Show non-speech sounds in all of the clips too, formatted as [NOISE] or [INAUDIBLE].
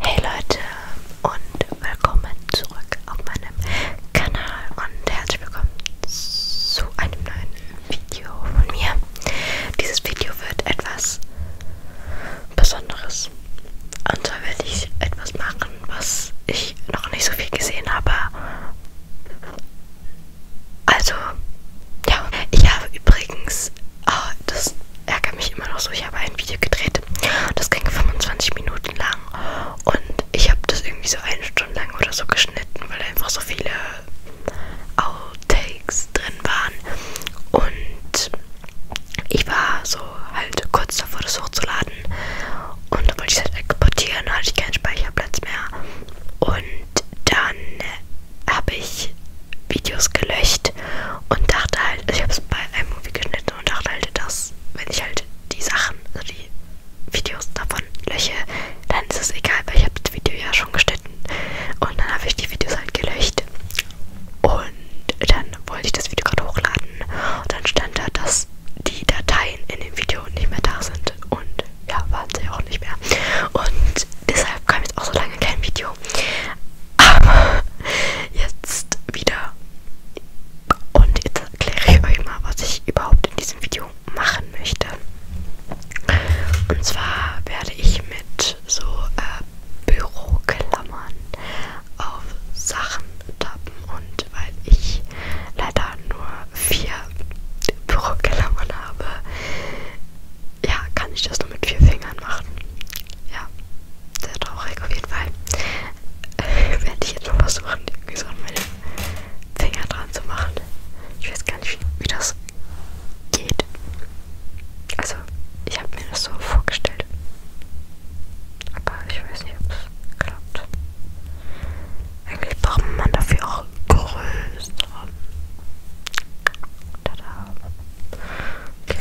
Hey Leute und willkommen zurück auf meinem Kanal und herzlich willkommen zu einem neuen Video von mir. Dieses Video wird etwas Besonderes. Und zwar werde ich etwas machen, was ich noch nicht so viel gesehen habe also, ja, ich habe übrigens, oh, das ärgert mich immer noch so, ich habe ein Video gedreht. Das ging 25 Minuten lang und ich habe das irgendwie so eine Stunde lang oder so geschnitten, weil einfach so viele Outtakes drin waren. Und ich war so halt kurz davor, das hochzuladen laden. Und dann wollte ich es halt exportieren, hatte ich keinen Speicherplatz mehr. Und dann habe ich Videos gelöscht und dachte halt, also ich habe es bei iMovie geschnitten und dachte halt, dass wenn ich halt die Sachen, also die Videos davon lösche, dann ist es egal, weil ich habe das Video ja schon geschnitten. Und dann habe ich die Videos halt gelöscht. Und dann wollte ich das Video gerade hochladen. Und dann stand da, dass die Dateien in dem Video nicht mehr da sind und ja, waren sie auch nicht mehr. Und deshalb kam jetzt auch so lange kein Video. Aber jetzt wieder. Und jetzt erkläre ich euch mal, was ich überhaupt in diesem Video machen möchte. Und zwar werde ich mit so äh, Büroklammern auf Sachen tappen und weil ich leider nur vier Büroklammern habe, ja, kann ich das nur mit vier Fingern machen. Ja, sehr traurig auf jeden Fall. Äh, [LAUGHS] werde ich jetzt mal versuchen, irgendwie so an meine Finger dran zu machen. Ich weiß gar nicht, wie, wie das geht. Also, ich habe mir das so vorgestellt. Aber ich weiß nicht, ob es geklappt. Eigentlich braucht man dafür auch größere. Tada. Okay.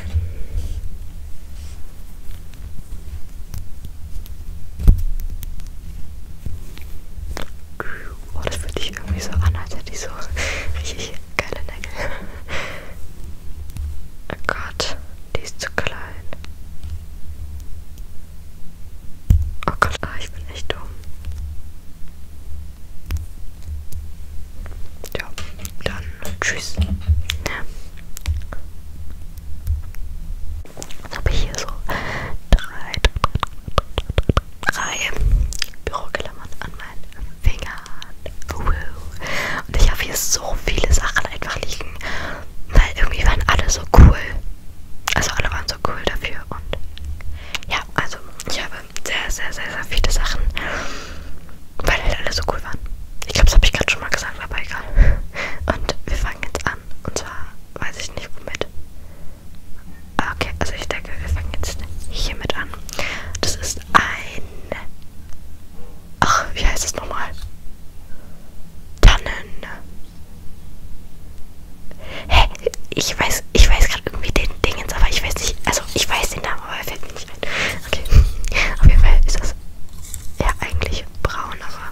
Oh, das fühlt sich irgendwie so an, als hätte ich so richtig geile Nägel. Oh Gott, die ist zu klein. Oh Gott, ah, ich bin echt dumm. Ja, dann tschüss. Jetzt habe ich hier so drei, drei Büroklammern an meinen Fingern. Und ich habe hier so viele Sachen einfach liegen, weil irgendwie waren alle so cool. Also alle waren waren so cool dafür. Und ja, also ich habe sehr, sehr, sehr, sehr viele Sachen, weil halt alle so cool waren. Ich glaube, das habe ich gerade schon mal gesagt, aber egal. Und wir fangen jetzt an. Und zwar weiß ich nicht womit. Ah, okay, also ich denke, wir fangen jetzt hiermit an. Das ist ein. Ach, wie heißt es nochmal? Tannen. Hä? Ich weiß, ich weiß gerade irgendwie den Dingens, aber ich weiß nicht. Also ich weiß den Namen, aber er fällt mir nicht ein. Okay. [LAUGHS] Auf jeden Fall ist das ja eigentlich braun, aber.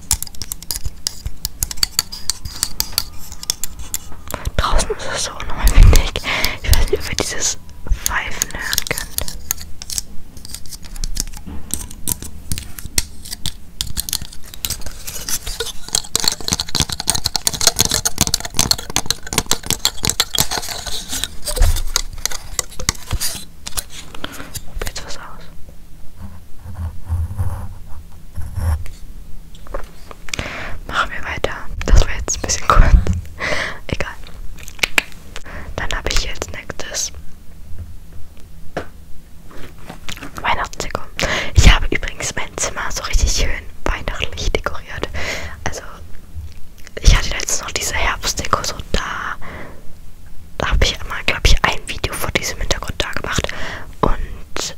Draußen ist es so unnormal windig. Ich weiß nicht, ob ihr dieses Pfeifen hören könnt. Probiert was aus. Machen wir weiter. Das war jetzt ein bisschen kurz. [LAUGHS] Egal. Dann habe ich jetzt nächstes Weihnachtsdeko. Ich habe übrigens mein Zimmer so richtig schön weihnachtlich dekoriert. Also ich hatte letztens noch diese Herbstdeko so da. Da habe ich einmal, glaube ich, ein Video vor diesem Hintergrund da gemacht. Und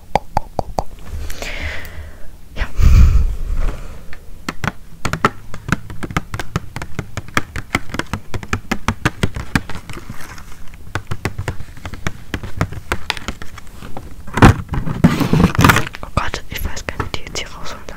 oh, oh, oh, oh. Ja. Oh Gott, ich weiß gar nicht, wie die jetzt hier rausholen. Ne?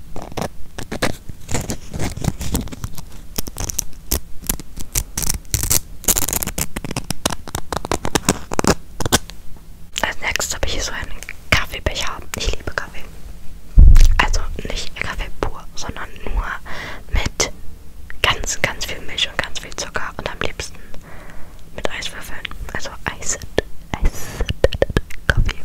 Als nächstes habe ich hier so einen Kaffeebecher. Ich liebe Kaffee. Also nicht Kaffee pur, sondern nur mit ganz, ganz viel Milch und ganz viel Zucker und am liebsten mit Eiswürfeln. Also Eis, Eis, Kaffee.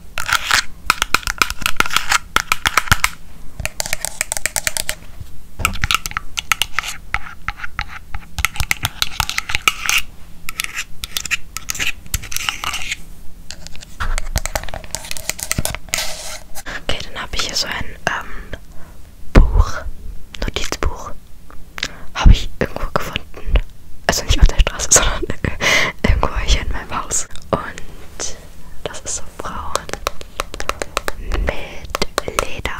Okay, dann habe ich hier so ein ähm, Buch, Notizbuch. Habe ich irgendwo gefunden. Also nicht auf der Straße, [LAUGHS] sondern äh, irgendwo hier in meinem Haus. Und das ist so braun mit Leder.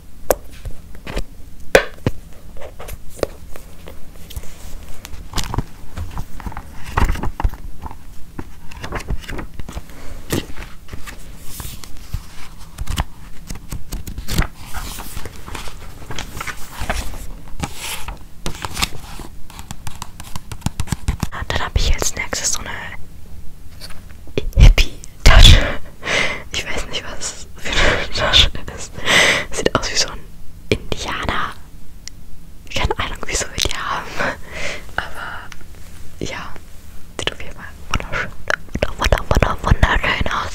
Dann habe ich als nächstes so eine Hippie-Tasche. Ich weiß nicht, was das für eine Tasche ist. Sieht aus wie so ein Indianer. Keine Ahnung, wieso wir die haben. Aber ja, sieht auf jeden Fall wunderschön, wunder, wunder, wunderschön aus.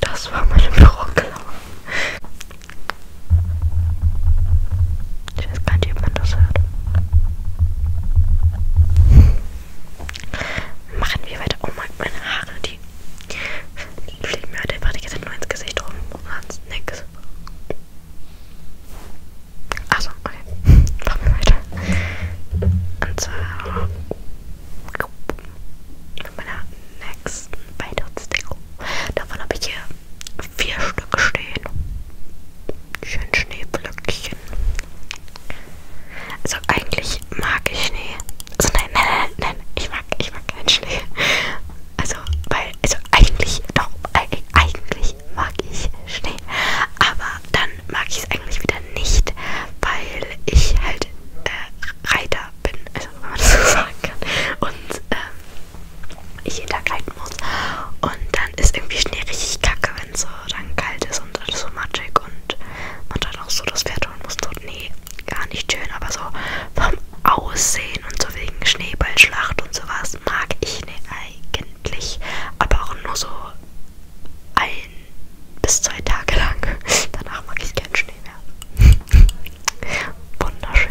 Das war meine Büroklammer. Ich weiß gar nicht, ob man das hört. Machen wir weiter. Oh mein, meine Haare, die fliegen mir heute einfach die ganze Zeit nur ins Gesicht rum und sonst nix. Achso, okay. Machen wir weiter. Und zwar mit meiner nächsten Weihnachtsdeko. Davon habe ich hier vier Stück stehen. Schön Schneeflöckchen. Also eigentlich mag ich Schnee. Also nein, nein, nein, nein, ich mag, ich mag keinen Schnee. Also, weil, also eigentlich, doch, eigentlich mag ich Schnee. Aber dann mag ich es eigentlich wieder nicht, weil ich halt äh, Reiter bin, also wenn man das so [LAUGHS] sagen kann. Und ähm, ich jeden Tag reiten muss. Und da dann ist irgendwie Schnee richtig kacke, wenn es so dann kalt ist und alles so matschig und man dann auch so das Pferd holen muss. So, nee, gar nicht schön, aber so vom Aussehen und so wegen Schneeballschlacht und sowas mag ich ne, eigentlich. Aber auch nur so ein bis zwei Tage lang. [LAUGHS] Danach mag ich keinen Schnee mehr. Wunderschön.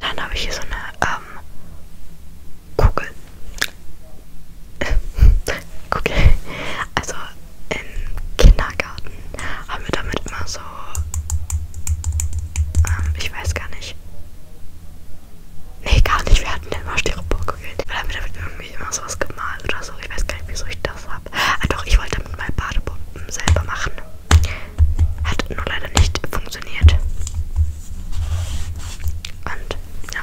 Dann habe ich hier so eine ähm, Kugel okay, [LAUGHS] also im Kindergarten haben wir damit immer so, ähm, ich weiß gar nicht, nee, gar nicht, wir hatten immer Styroporkugeln, weil haben wir damit irgendwie immer sowas gemalt oder so, ich weiß gar nicht, wieso ich das habe, ah doch, ich wollte damit mal Badebomben selber machen, hat nur leider nicht funktioniert. Und ja.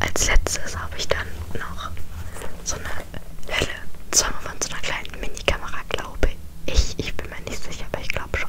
Als letztes habe ich dann noch so eine helle Zunge von so einer kleinen Mini-Kamera, glaube ich. Ich bin mir nicht sicher, aber ich glaube schon.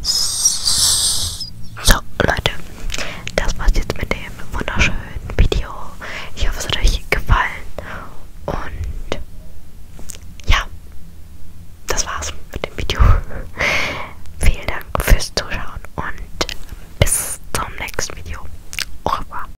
So, Leute, das war's jetzt mit dem wunderschönen Video. Ich hoffe, es hat euch gefallen. Und ja, das war's mit dem Video. [LAUGHS] Vielen Dank fürs Zuschauen und bis zum nächsten Video. Au revoir.